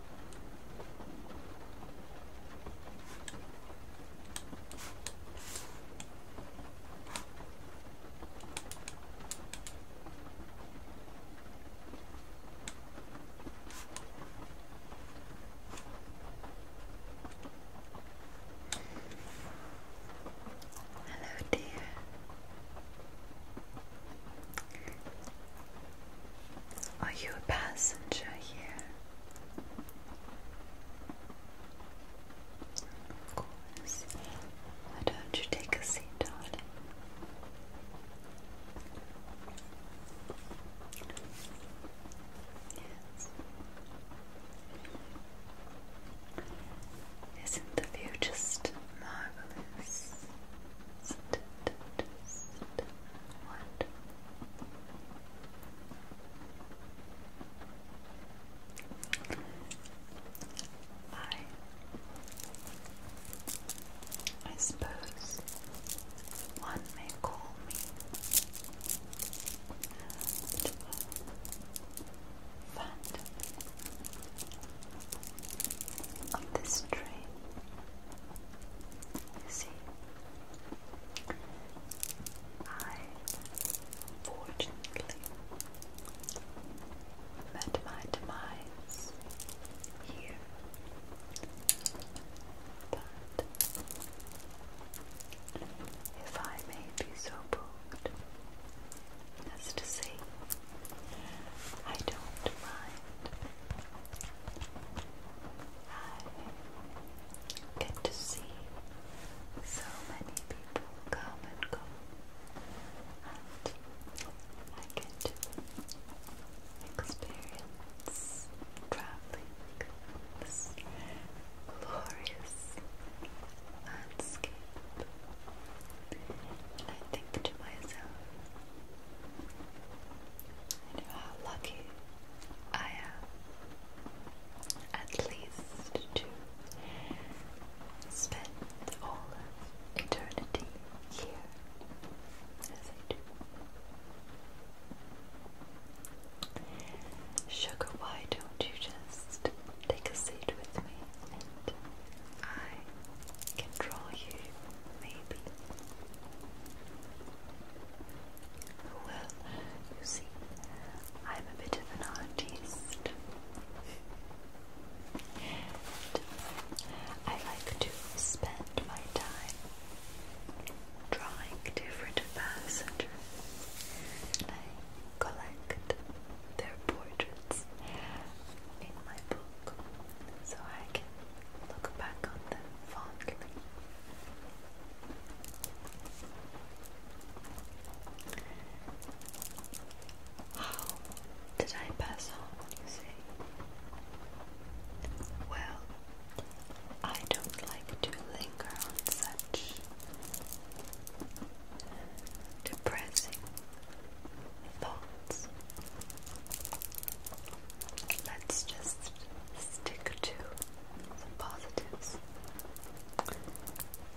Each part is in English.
Hello, dear. Are you a passenger here? Of course. Why don't you take a seat, darling? Yes. Isn't the view just marvelous? Just one. I, I suppose one may call me and, uh, fat of this train. You see, I fortunately met my demise here, but if I may be so bold as to say I don't mind. I get to see so many people come and go, and I get to experience traveling this glorious landscape. And I think to myself, I know how lucky I am, at least to spend all eternity here as I do. Sugar, why don't you just take a seat with me I can you, maybe. Well, you see, I'm a bit of an artist. I like to spend my time drawing different passengers. I collect their portraits in my book so I can look back on them fondly. How did I pass on, you say? Well, I don't like to linger on such depressing thoughts. Let's just stick to the positives.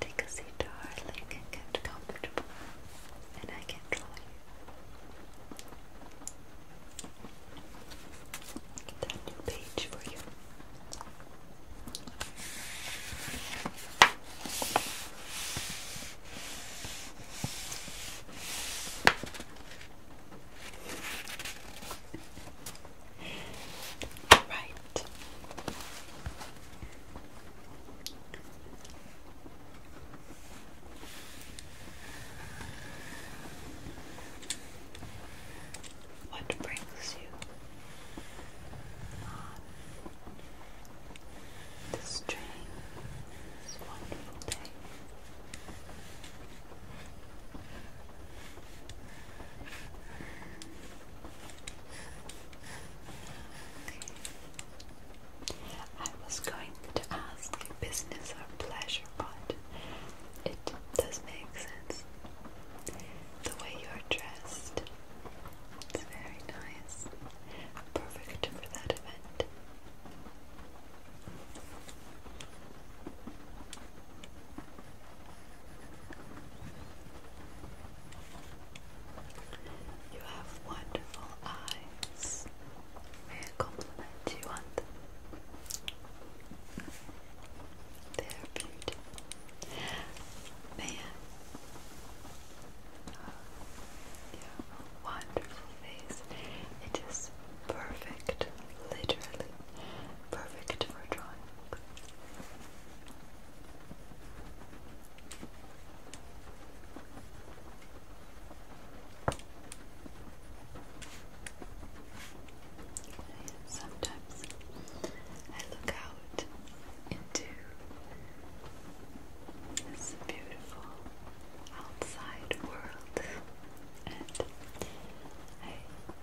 Take a seat, darling, get comfortable, and I can draw you. Get a new page for you. Right. What brings you on this train is wonderful day. I was going to ask business or pleasure, but it does make sense. The way you're dressed, it's very nice perfect for that event. You have wonderful eyes. May I compliment you on them? They're beautiful. May I? You have a wonderful face. It is perfect, literally perfect for drawing. Sometimes I look out into it's a beautiful outside world and I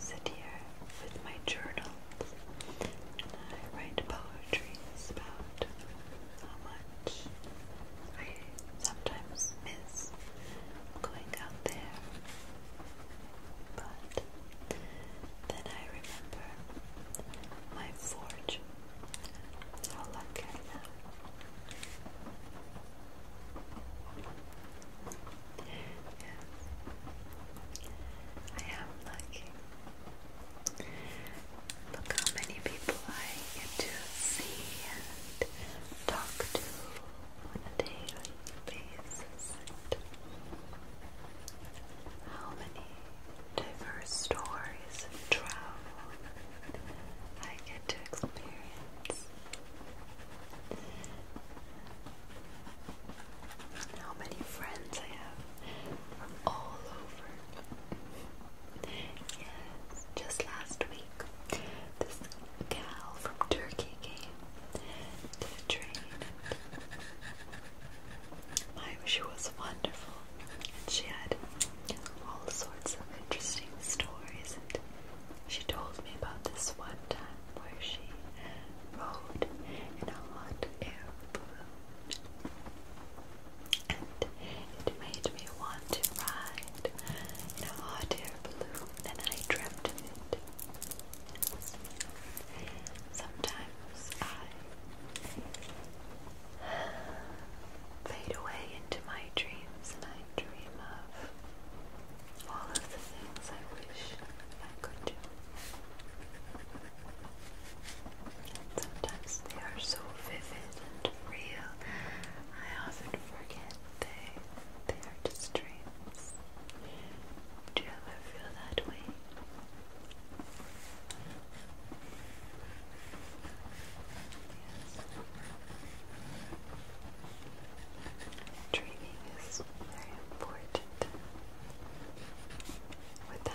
sit here with my journals and I write poetries about how much I sometimes miss going out there but then I remember my forge. I am. Yeah. I am lucky. Look how many people I get to see and talk to on a daily basis. how many diverse stories and travel I get to experience. how many friends I have from all over. Yes, just last week, this gal from Turkey came to the train. My, she was wonderful, and she had all sorts of interesting stories. And she told me about this one time where she rode in a hot air balloon, and it made me want to ride in a hot air balloon, than I dreamt of it. Sometimes I fade away into my dreams and I dream of all of the things I wish I could do. sometimes they are so vivid and real, I often forget they, they are just dreams. Do you ever feel that way? Dreaming is very important. Without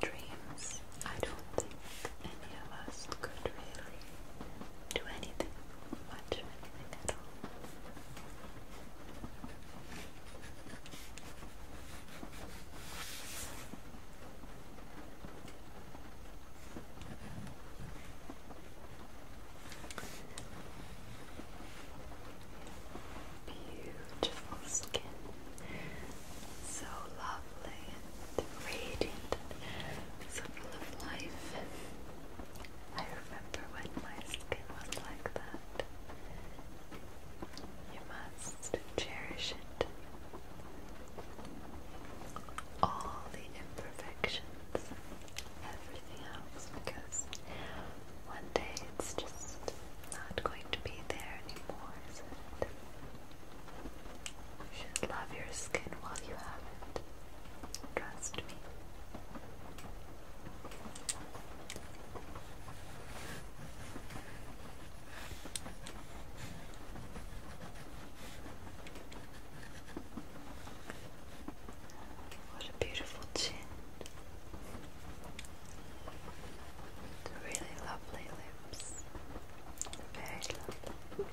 dreams, I don't think any of us could really do anything, much anything at all. Beautiful skin, so lovely and radiant, and of life. I remember when my skin was like that. You must cherish it. All the imperfections, everything else, because one day it's just not going to be there anymore, You should love your skin while you have it. Trust me. What a beautiful chin. Really lovely lips. Very lovely.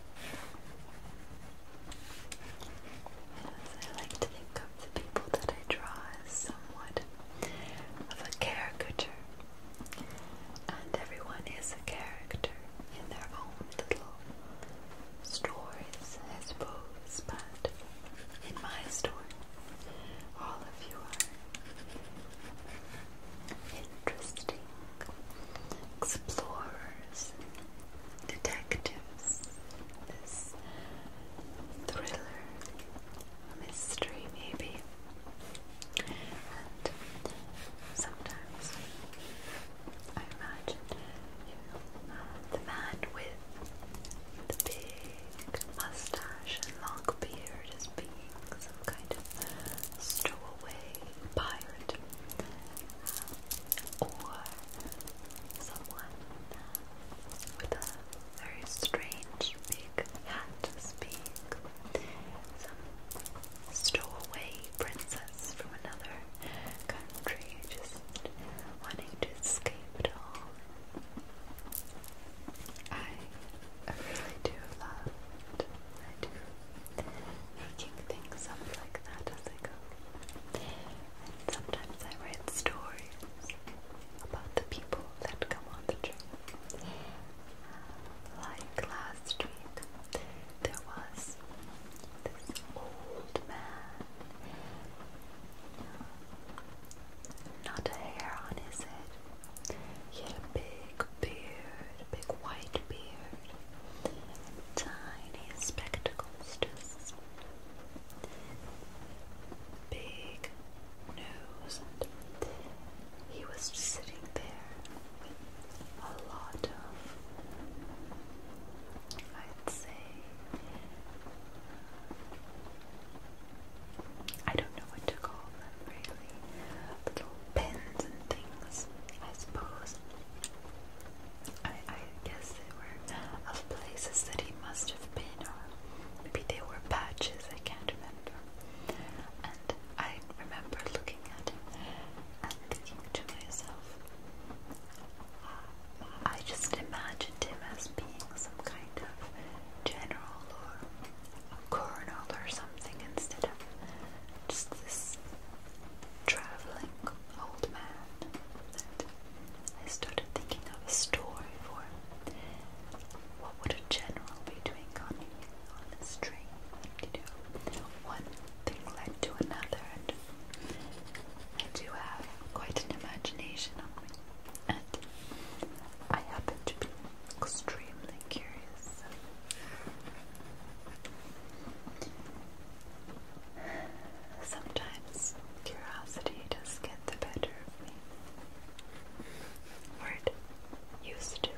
I like to think of the people that I draw as somewhat of a caricature, and everyone is a character in their own little stories, I suppose, but in my story, all of you are interesting explorers detectives, this thriller, mystery maybe. And sometimes I imagine the man with the big mustache and long beard as being some kind of stowaway pirate or someone with a very strange big hat speak, some stowaway princess from another country just wanting to escape it all. I really do love, I making things up like that as I go. sometimes I write stories about the people that come on the trip. Uh, like last week, there was this old man. Uh, not a hair on his head. had a big beard, a big white beard, tiny spectacles, just big nose, he was just sitting there with a lot of, I'd say, I don't know what to call them really, little pins and things, I suppose. I, I guess they were of places that he must have been, or maybe they were patches, I can't remember. And I remember looking at him and thinking to myself, I just imagined him as being some kind of general or a colonel or something instead of just this traveling old man I started thinking of a story for what would a general be doing on, the this train? You know, one thing led to another, and I do have quite an imagination on me, and I happen to be extremely curious Sometimes curiosity does get the better of me. Or used to.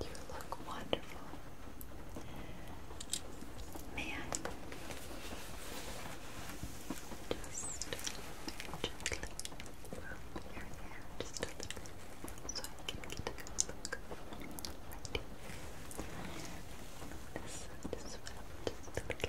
You look wonderful. May I? just gently roll your hair just a little bit so I can get a good look right here. This side as well, just a little bit. Okay.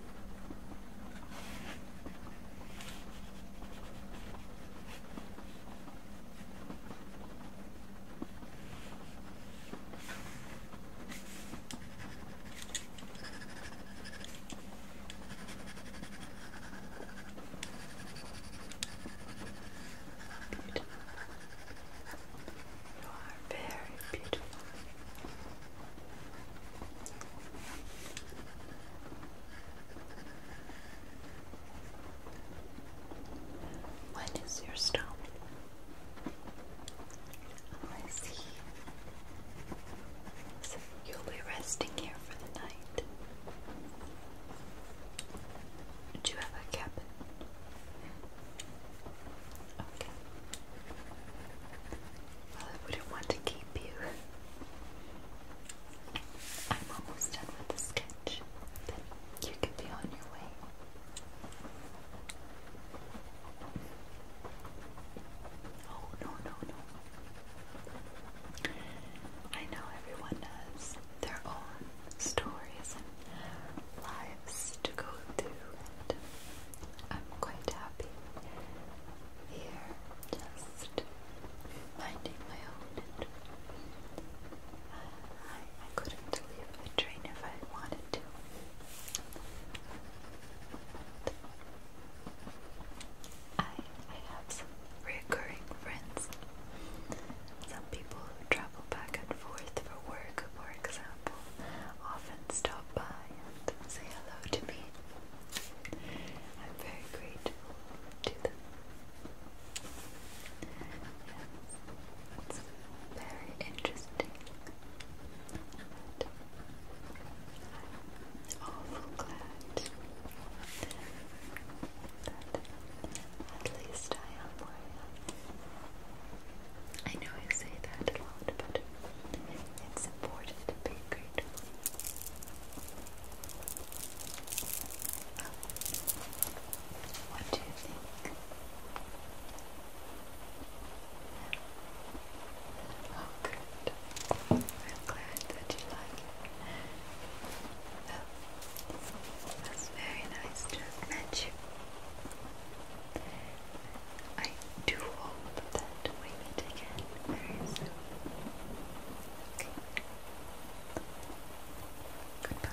Good. You are very beautiful. What is your stone? I see. you'll be resting here for the night. Do you have a cabin? Well, I wouldn't want to keep you. I'm almost done with the sketch. Then you can be on your way. Oh, no, no, no. I know everyone has their own stories and lives to go through, I'm quite happy here, just minding my own. I, I couldn't leave the train if I wanted to. I, I have some recurring friends. Some people who travel back and forth for work, for example, often stop by say hello to me. I'm very grateful to them. it's very interesting. I'm awful glad that at least I am where I I know I say that a lot, but it's important to be grateful. Um, what do you think? Oh, good. I'm glad that you like it. that's very nice to have met you. I do hope that we meet again very soon. Goodbye